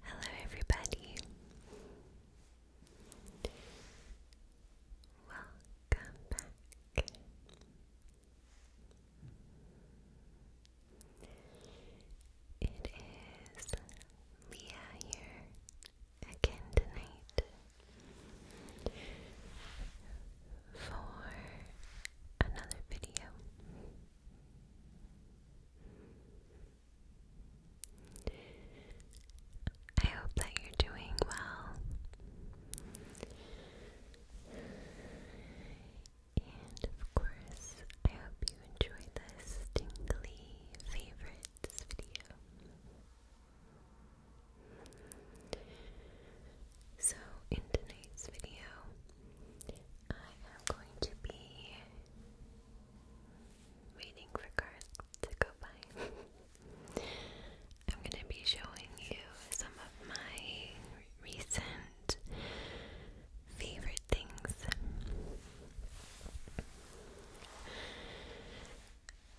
Hello, everybody. Welcome back. It is Leah here again tonight for another video. I hope that you're doing well. And of course, I hope you enjoy this tingly favorites video. So, in tonight's video, I am going to be waiting for cars to go by. I'm going to be showing you some of my recent favorite things.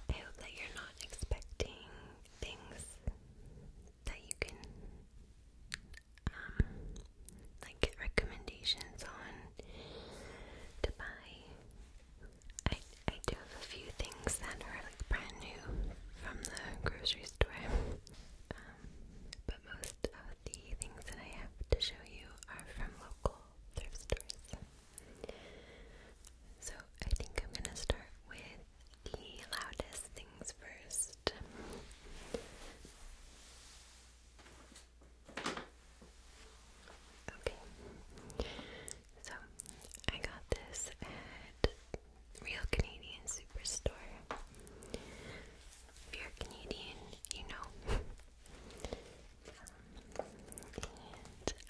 I hope that you're not expecting things that you can um, like recommendations on to buy. I I do have a few things that are like brand new from the grocery store, um, but most of the things that I have to show you are from local thrift stores. So I think I'm gonna start with the loudest things first. Okay, so I got this at Real Canadian Superstore. If you're Canadian, you know.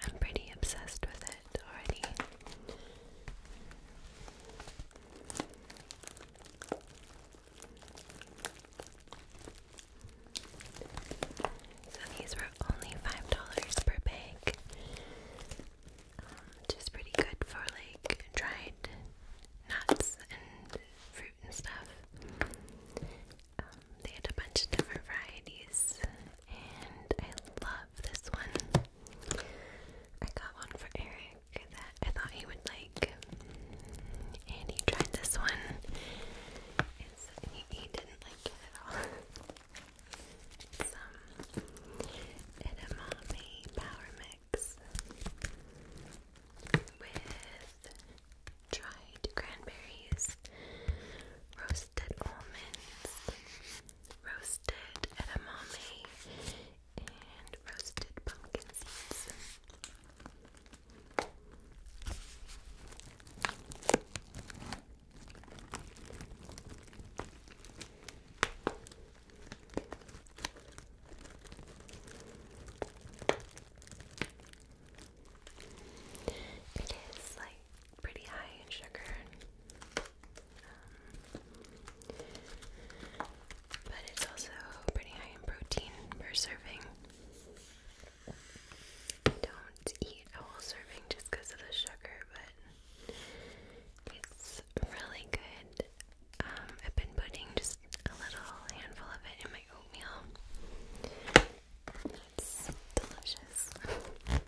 I'm pretty obsessed with it already. So these were only five dollars per bag, um, which is pretty good for like dried nuts and fruit and stuff. Um, they had a bunch of different varieties, and I love this one. I got one for Eric. I thought he would like. And he tried this one. And he, didn't like it at all. it's an um, Amami Power Mix with dried cranberries, roasted almonds, roasted edamame, and roasted pumpkin seeds. It is like pretty high in sugar. Um, but it's also pretty high in protein per serving. Don't eat a whole serving just because of the sugar, but it's really good. Um, I've been putting just a little handful of it in my oatmeal. That's delicious.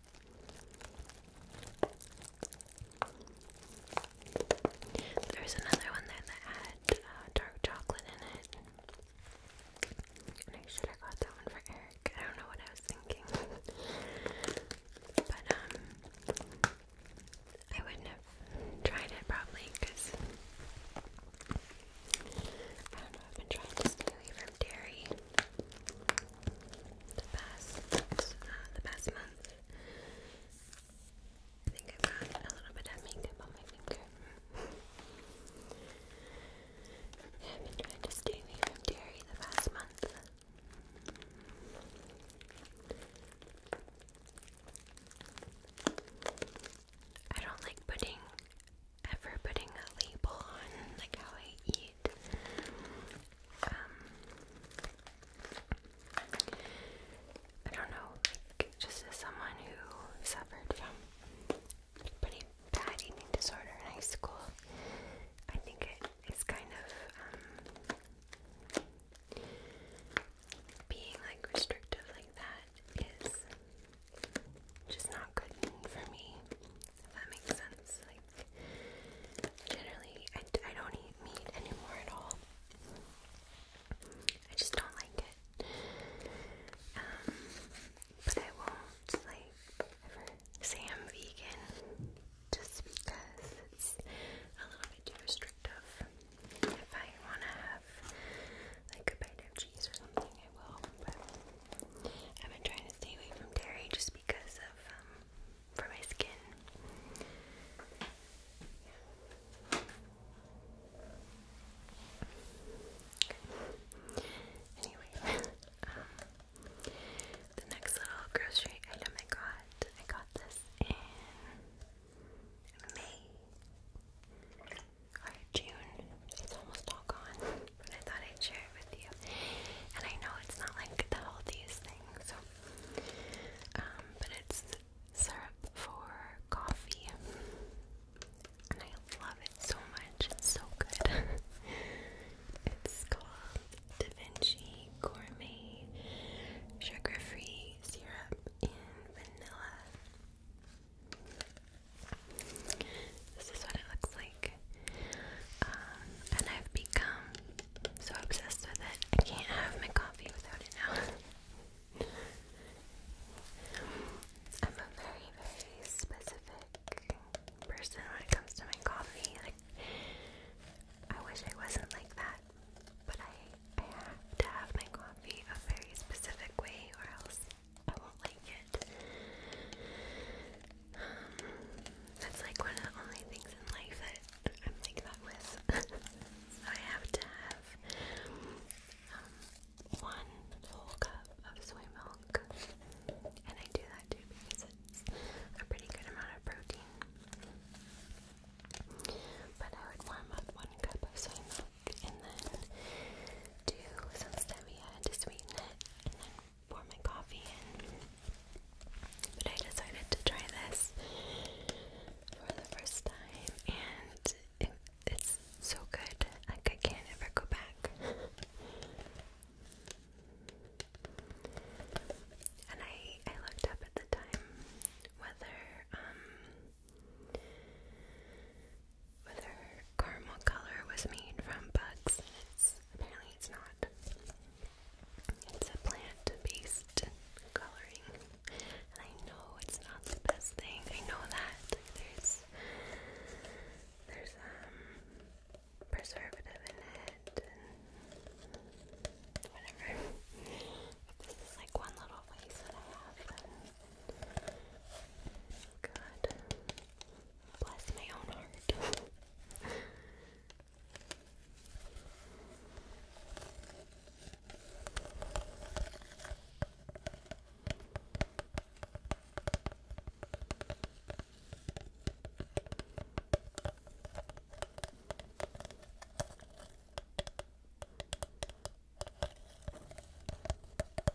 There's another one there that had uh, dark chocolate in it. I should have got that one for Eric. I don't know what I was thinking. but, um, I wouldn't have tried it probably because I don't know, I've been trying to stay away dairy the past uh, the past month. I think i got a little bit of makeup on my finger. I've been trying to stay away from dairy the past month. I don't like putting ever putting a label on like how I eat. Um, I don't know, like just as someone who suffered from pretty bad eating disorder in high school, I think it is kind of um, being like restrictive like that is just not good for me. If that makes sense. Like, generally, I, I don't eat meat anymore at all. I just don't like it. Um, but I won't, like, say I'm vegan just because it's a little bit too restrictive. If I want to have, like, a bite of cheese or something, I will. But I've been trying to stay away from dairy just because of um for my skin. Anyway, um, the next little grocery item I got, I got this in May or June. It's almost all gone, but I thought I'd share it with you. And I know it's not like the healthiest thing, so um, but it's syrup for coffee, and I love it so much. It's so good. it's called Da Vinci Gourmet Sugar-Free Syrup in Vanilla. This is what it looks like. Um, and I've become so obsessed with it, I can't have my coffee without it now. I'm a very, very specific person when it comes to my coffee. Like, I wish I wasn't like that, but I, I have to have my coffee a very specific way, or else I won't like it. Um, that's like one of the only things in life that I'm like that with. I have to have um, one whole cup of soy milk. And I do that too because it's a pretty good amount of protein. But I would warm up one cup of soy milk and then do some stevia to sweeten it and then pour my coffee in. But I decided to try this for the first time, and it's so good. Like, I can't ever go back. and I, I looked up at the time whether, um, whether caramel color was made from bugs. apparently, it's not. It's a plant-based coloring, and I know it's not the best thing. I know that there's there's um preservative in it and whatever. this is like one little vase that I have. And, Bless my own heart.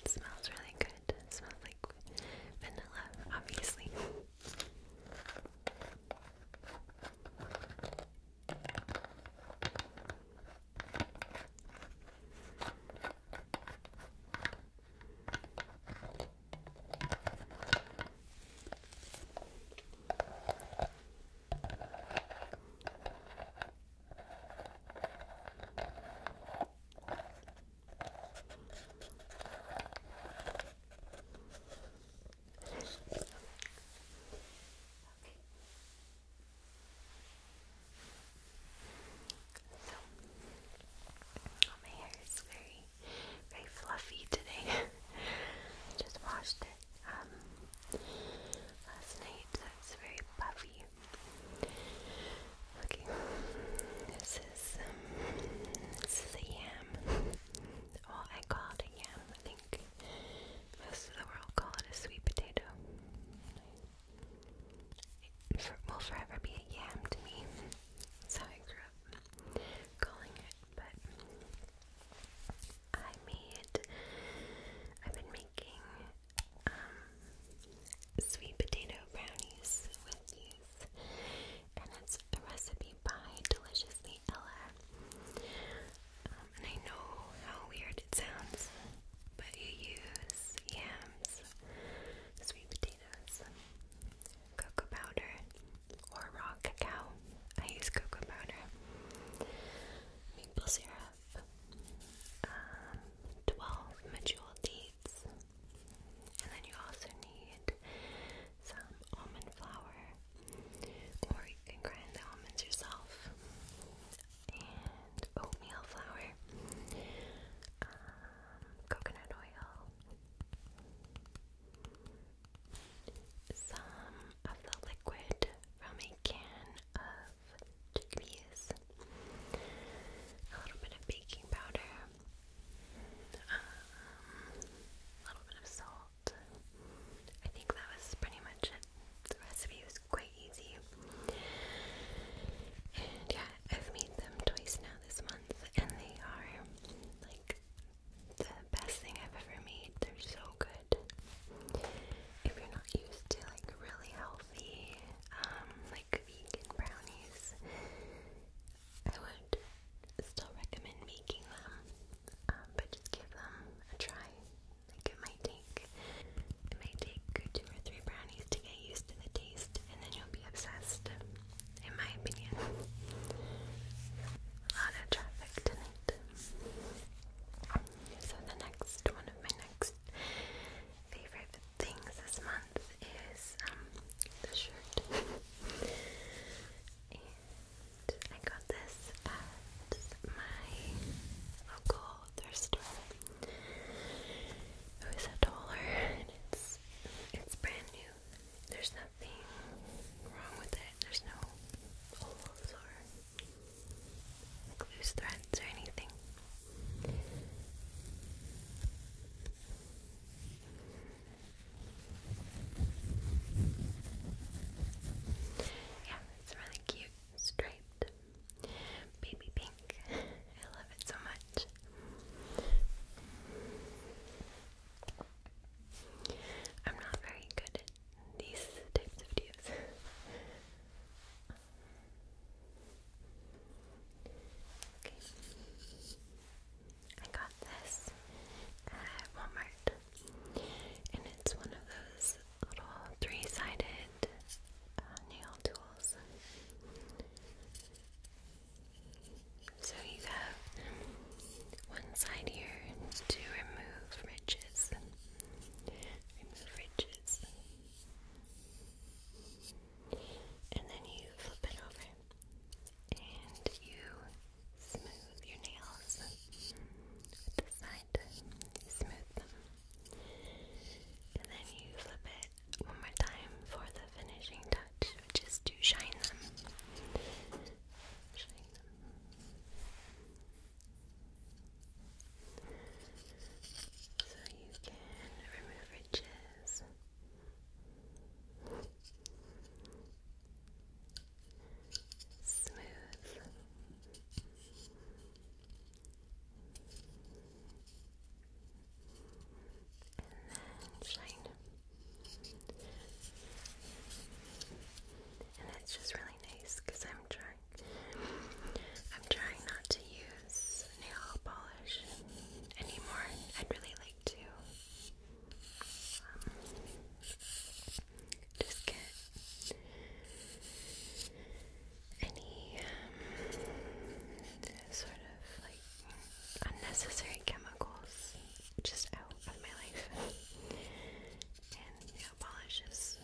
It smells really good. It smells like vanilla, obviously. So, oh, my hair is very, very fluffy today. I just washed it um, last night, so it's very puffy. Okay, this is um, this is a yam. Or I call it yam. I think most of the world call it a sweet potato. It forever be a yam to me. That's how I grew up calling it. But I made. I've been making um, sweet potato brownies with these, and it's a recipe by Deliciously Ella. Um, and I know how weird it sounds, but you use yams, sweet potatoes, cocoa powder, or raw cacao. I use cocoa powder, maple syrup. 12 mature dates, and then you also need some almond flour, or you can grind the almonds yourself, and oatmeal flour, um, coconut oil. Some of the liquid from a can of chickpeas, a little bit of baking powder, um, a little bit of salt. I think that was pretty much it. The recipe was quite easy. And yeah, I've made them twice now this month, and they are like the best thing I've ever made. They're so good. If you're not used to like really healthy, healthy, um, like vegan brownies, I would still recommend making them, um, but just give them a try. it might take, it might take two or three brownies to get used to the taste, and then you'll be obsessed. In my opinion, lot of traffic tonight. So the next one of my next favorite things this month is um, the shirt. I got this at my local thrift store. It was a dollar and it's it's brand new. There's nothing wrong with it. There's no holes or loose threads or anything. Yeah, it's really cute, striped, baby pink. I love it so much. I'm not very good at these types of videos. I got this at uh, Walmart. And it's one of those little three-sided uh, nail tools. So you have one side here to remove ridges. Remove ridges. And then you flip it over and you smooth your nails with the side. You smooth them. And then you flip it one more time for the finishing touch, which to Shine them. So you can remove ridges. Smooth. And then shine. And it's just really nice because I'm trying I'm trying not to use nail polish anymore. I'd really like to um, just get any um, sort of like unnecessary chemicals just out of my life. And nail polish is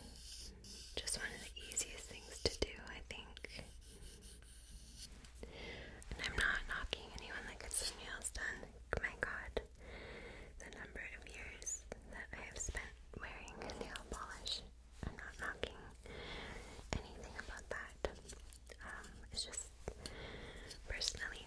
just one of the easiest things to do, I think. And I'm not knocking anyone that gets their nails done. My god, the number of years that I have spent wearing nail polish. I'm not knocking anything about that. Um, it's just personally.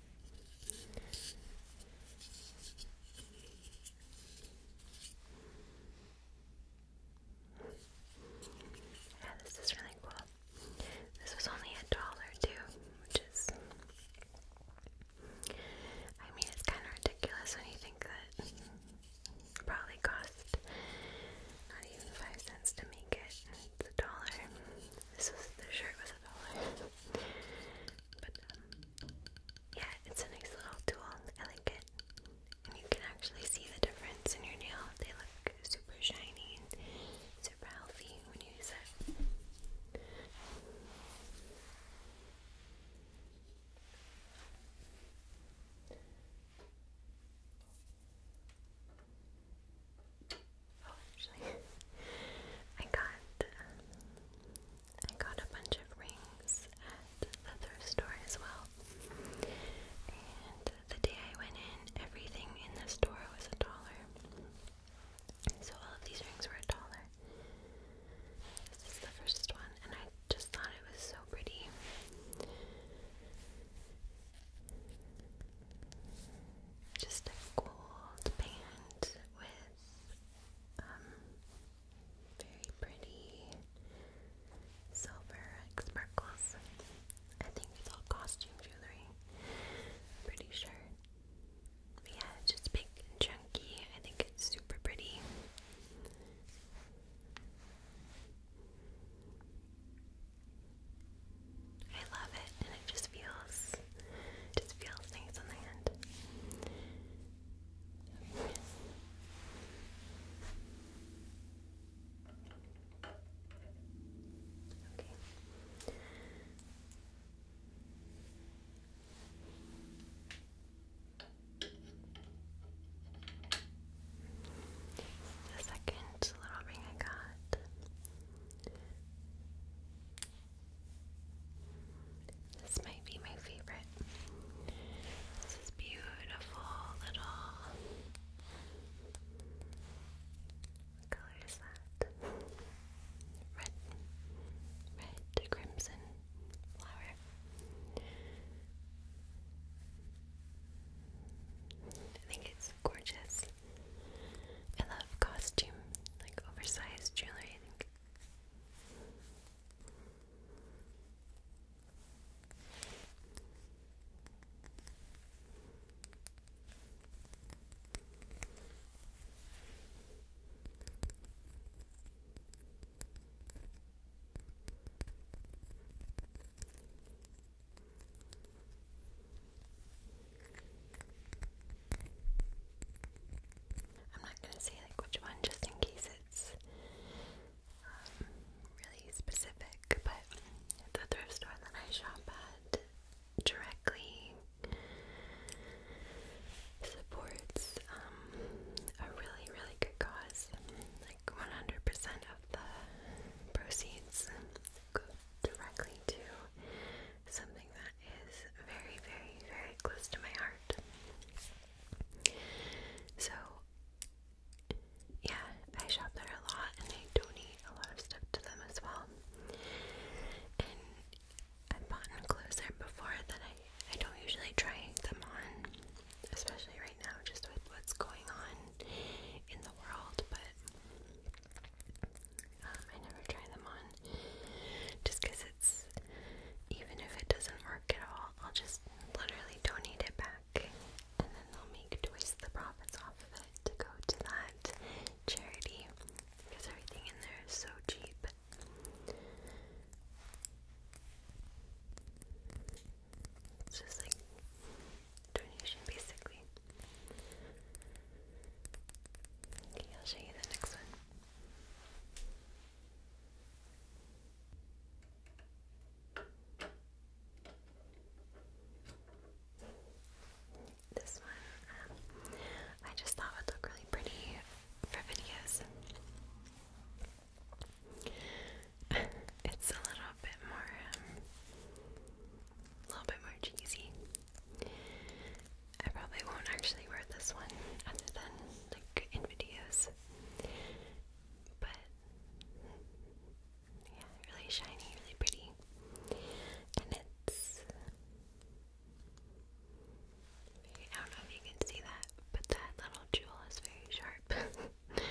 Yeah, this is really cool. This was only a dollar too, which is I mean it's kinda ridiculous when you think that probably cost not even five cents to make it. It's a dollar. This was the shirt was a dollar. But um, yeah, it's a nice little tool. I like it. And you can actually see the difference in your nail. They look super shiny and super healthy when you use it. Okay. Oh, actually, I got I got a bunch of rings at the thrift store as well. And the day I went in, everything in the store was a dollar. So all of these rings were a dollar. This is the first one, and I just thought it was so pretty. Just a gold band with um, very pretty silver sparkles. I think it's all costume jewelry. pretty sure. But yeah, just big and chunky. I think it's super pretty. I love it and it just feels it just feels nice on the hand. Okay. The second little ring I got this might be my favorite. This is beautiful little. What color is that? Red, red to crimson flower. I think it's gorgeous. I love costume, like oversized jewelry, I think. I'm not gonna say like which one just in case it's um, really specific, but the thrift store that I shop at directly supports um, a really, really good cause. Like 100% of the proceeds go directly to something that is very, very, very close to my heart. So, yeah, I shop there a lot and I donate a lot of stuff to them as well. And I've bought clothes there before but I, I don't usually try them on, especially right now, just with what's going on in the world. But um, I never try them on just it's, even if it doesn't work at all, I'll just literally donate it back and then they'll make twice the profits off of it to go to that charity everything in there is so cheap. It's just like donation basically. Okay, I'll show you the next one. This one, um, I just thought would look really pretty for videos. it's a little bit more, a um, little bit more cheesy. I probably won't actually wear this one other than like in videos. But yeah, really shiny, really pretty. And it's I don't know if you can see that, but that little jewel is very sharp.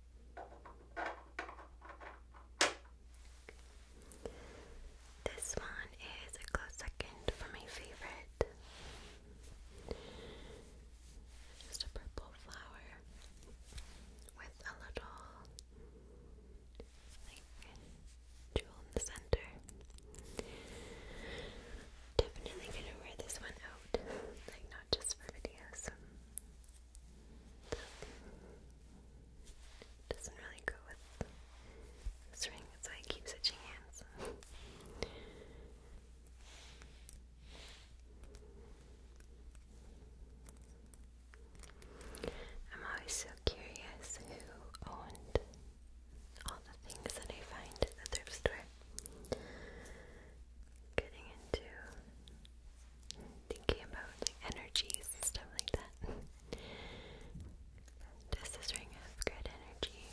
This one is a close second for my favorite. Just a purple flower with a little like jewel in the center. Definitely gonna wear this one out, like not just for videos doesn't really go with this ring, that's I keep switching hands. I'm always so curious who owned all the things that I find at the thrift store. Getting into thinking about like energies stuff like that. Does this ring have good energy?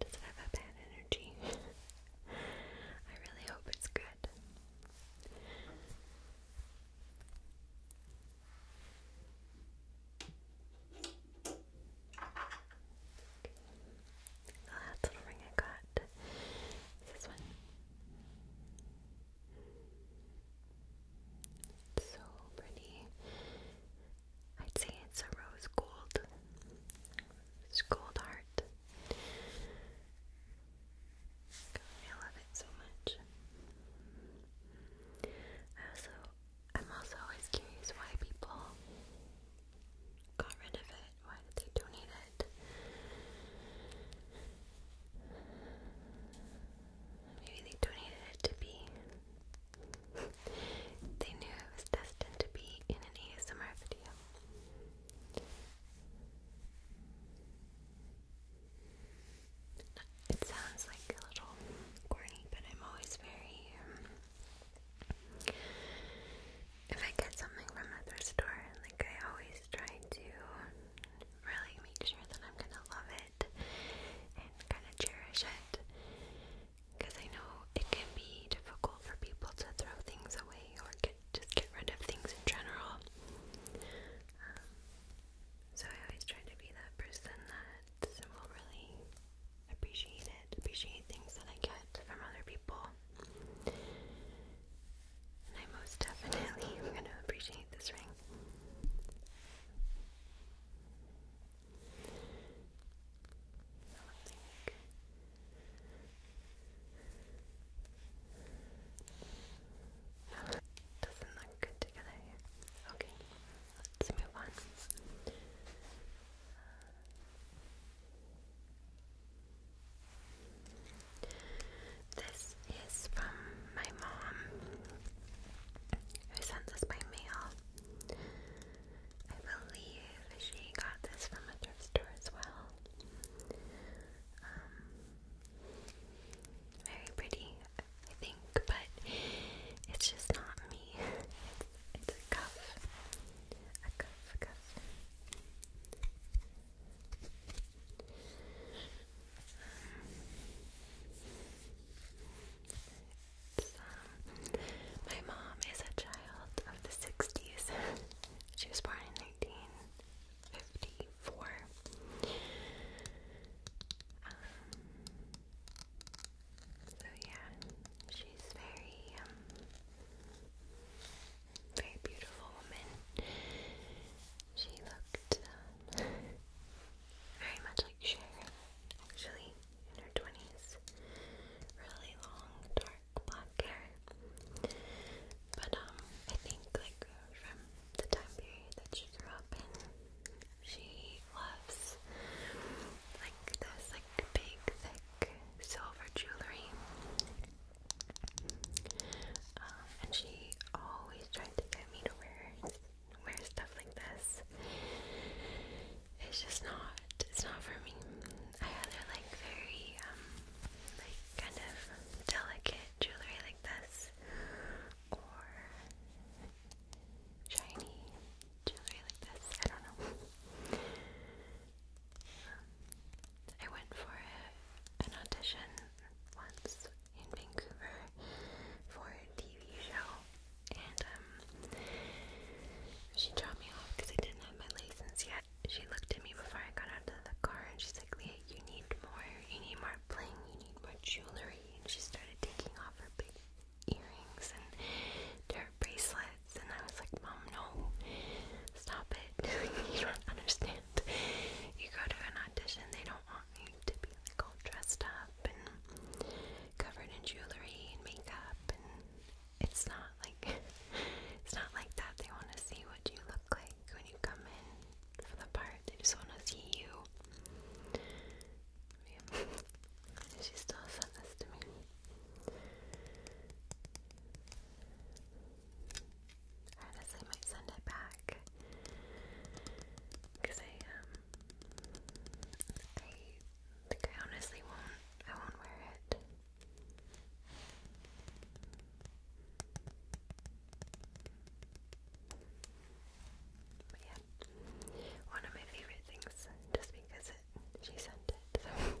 Does it have a bad energy? I really hope it's good. The last little ring I got is this one. It's so pretty. I'd say it's a rose gold. It's gold heart. I love it so much. I also I'm also always curious why people got rid of it. Why did they donate it? they donated it to be. they knew it was destined to be in an ASMR video. It sounds like a little corny, but I'm always very. Um, if I get something from Mother's Store, like I always try to really make sure that I'm gonna love it and kind of cherish it. Because I know it can be difficult for people to throw things away or get, just get rid of things in general. Um, so I always try to be that person that will really appreciate it, appreciate things that I get from other people. And I most definitely am going to appreciate this ring. doesn't look good together Okay, let's move on. This is from my mom, who sent this by mail. I believe she got this from a thrift store as well. Um, very pretty, I think, but it's just not me. it's a cuff. A cuff, a cuff my mom is a child of the 60s. she was born in 1954. Um, so, yeah, she's very, um, very beautiful woman. She looked um, very much like Sharon, actually, in her 20s. Really long, dark black hair. But um, I think like from the time period that she grew up in, she loves like this like big, thick silver jewelry. Uh, and she always tried to get me to wear wear stuff like this. It's just not it's not for me. I rather like very um, like kind of delicate jewelry like this or shiny jewelry like this. I don't know. I went for an audition once in Vancouver for a TV show, and um, she dropped me off because I didn't have my license yet. She looked at me before I got out of the car, and she's like, "Leah, you need more. You need more bling. You need more jewelry." And she started taking off her big earrings and her bracelets, and I was like, "Mom, no, stop it." it. you don't understand. You go to an audition, they don't want you to be like all dressed up and covered in jewelry and makeup and it's not like it's not like that. They want to see what you look like when you come in for the part. They just want to see you. She still sent this to me honestly might send it back because I um I think I honestly won't I won't wear it. But yeah, one of my favorite things just because she sent it. So.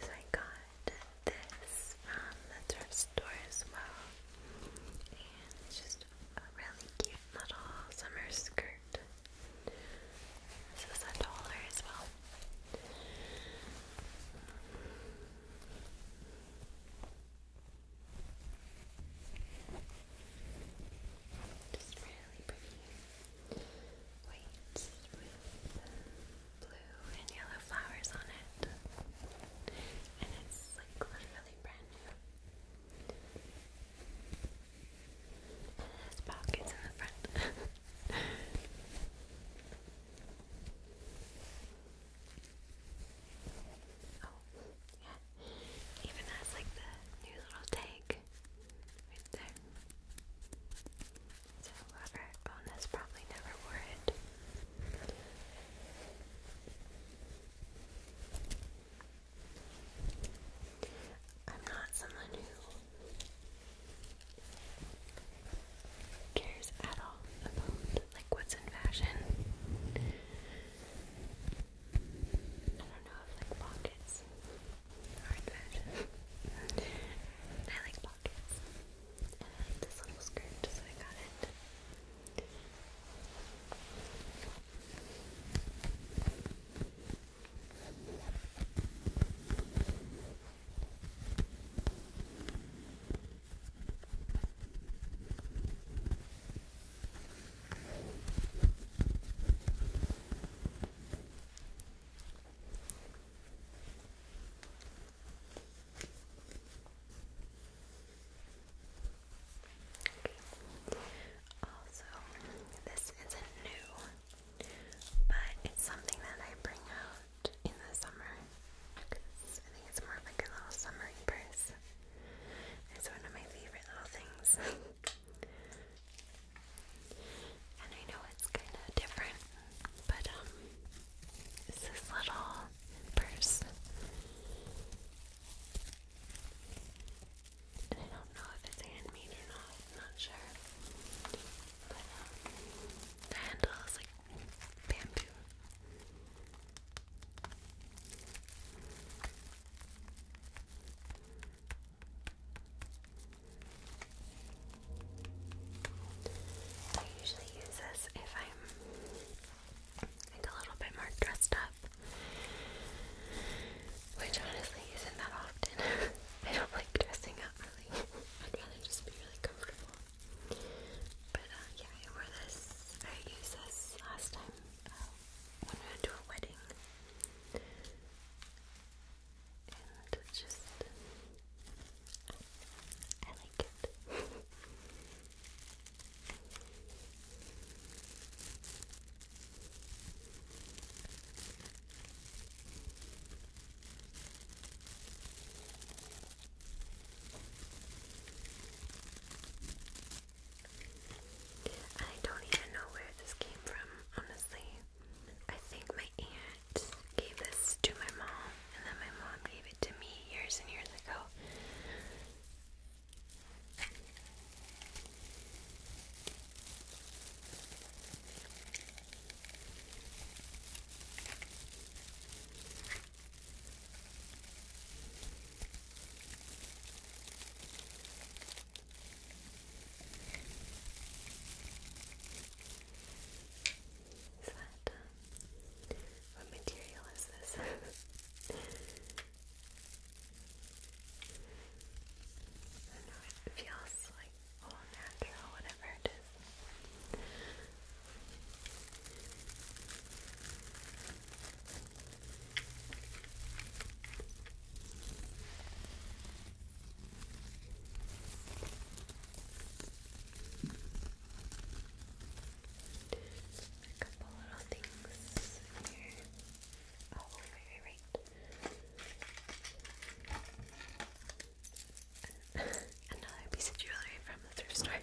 So I got this from the thrift store as well. And it's just a really cute little summer skirt. This was a dollar as well. Just really pretty white with blue and yellow flowers on it. And it's like literally brand new. it has pockets in the front. oh, yeah. Even has like the new little tag right there. So whoever owned this probably never wore it. I'm not someone who cares at all about like what's in fashion. I don't know if like pockets are fashion. I like pockets and this little skirt, so I got it. Also, this isn't new, but it's something that I bring out in the summer. Cause I think it's more of like a little summery purse. It's one of my favorite little things. and I know it's kind of different but um this little purse. I don't know if it's handmade or not, not sure. But um, the handle is like bamboo. I usually use this if I'm a little bit more dressed up, which honestly isn't that often. I don't like dressing up really. I'd rather just be really comfortable. But uh, yeah, I wore this. I used this last time uh, when we went to a wedding and just I like it. I don't even know where this came from, honestly. I think my aunt gave this to my mom, and then my mom gave it to me years and years ago what material is this? I know, it feels like all natural, whatever it is. A couple little things here. Oh, right, right, right. Another piece of jewelry from the thrift store.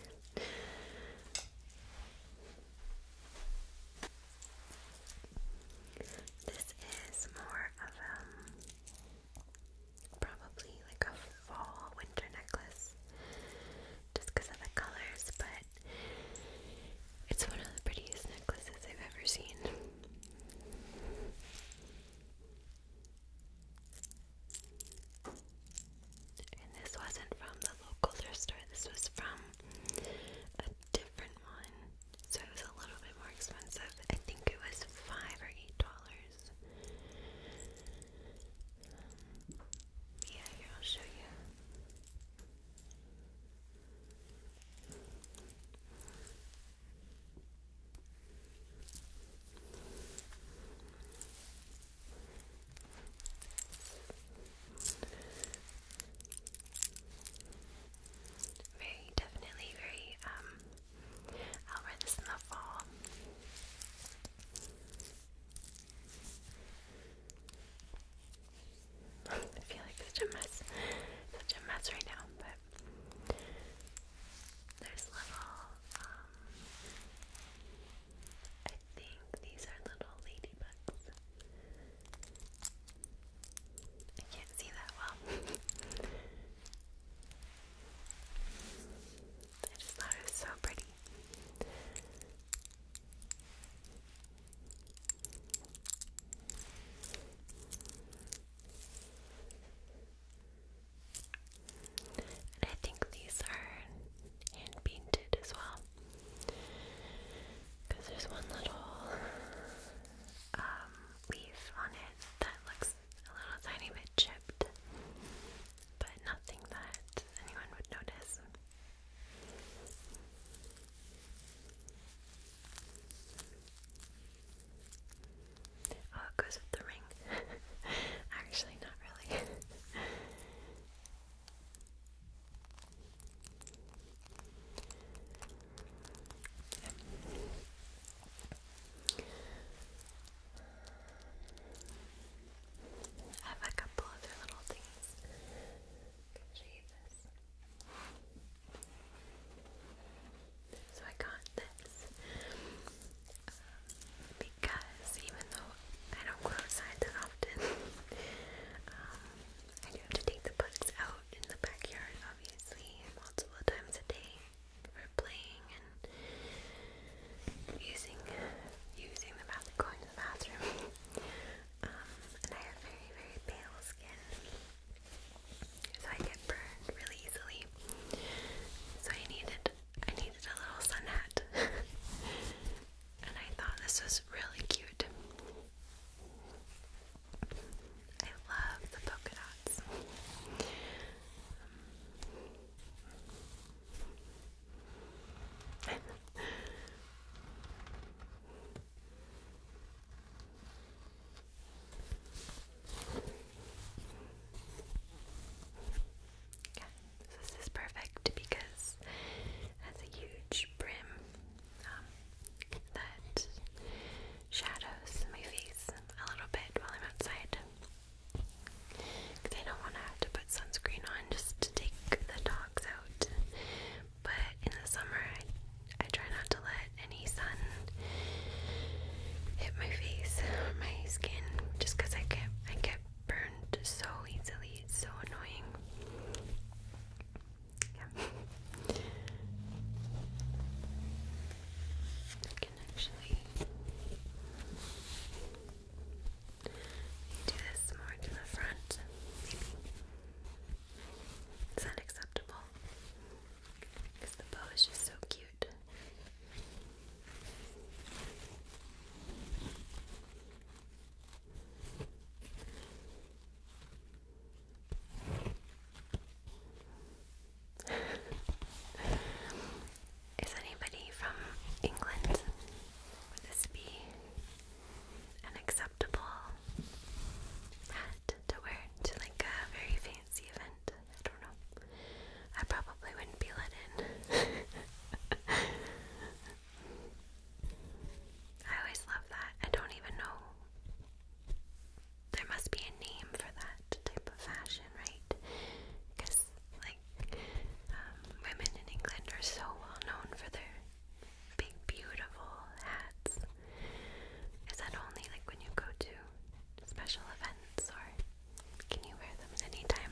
This is more of um Probably like a fall winter necklace just because of the colors, but it's one of the prettiest necklaces I've ever seen. And this wasn't from the local thrift store, this was from a different one. So it was a little bit more expensive. I think it was five or eight dollars. Um, yeah, here I'll show you. Very definitely very um I'll wear this in the fall. I feel like such a mess, such a mess right now, but there's little, um, I think these are little ladybugs. I can't see that well. I just thought it was so pretty. I think these are hand painted as well. Because there's one little um, leaf on it that looks a little tiny bit chipped, but nothing that anyone would notice. Oh, it goes with the ring. Actually, not really. I have a couple other little things. Can show you this. So I got this um, because even though I don't go outside that often, um, I do have to take the bugs out in the backyard, obviously, multiple times a day for playing and using using the bathroom, going to the bathroom. um, and I have very very pale skin, so I get burned really easily. So I needed I needed a little sunnet, and I thought this was really cute. I love the polka dot thoughts. Um, this is perfect because has a huge brim um, that shadows in my face a little bit while I'm outside. I don't want to have to put sunscreen on just to take the dogs out. But in the summer, I, I try not to let any sun hit my face my skin just because I get, I get burned so easily. It's so annoying can actually do this more to the front, maybe. Is that acceptable? Because the bow is just so cute. Is anybody from England? Would this be an acceptable hat to wear to like a very fancy event? I don't know. I probably wouldn't be let in. I always love that. I don't even know there must be a name for that type of fashion, right? Because, like, um, women in England are so well known for their big, beautiful hats. Is that only like when you go to special events, or can you wear them at any time?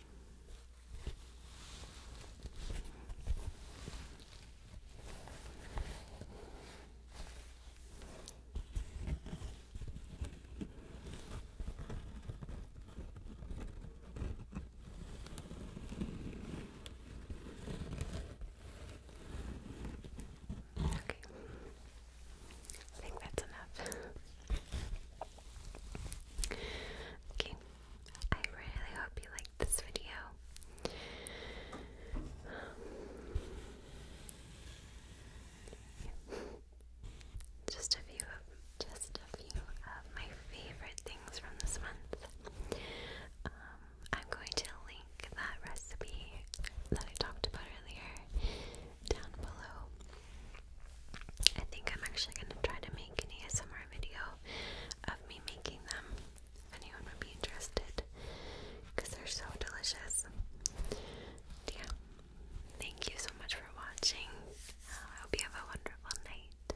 Okay. I think that's enough. Okay, I really hope you liked this video. Just a few of just a few of my favorite things from this month. Um, I'm going to link that recipe that I talked about earlier down below. I think I'm actually going to try to make an ASMR video of me making them if anyone would be interested because they're so delicious. Yeah. Thank you so much for watching. I hope you have a wonderful night.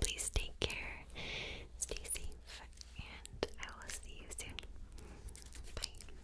Please take care, stay safe, and I will see you soon. Bye.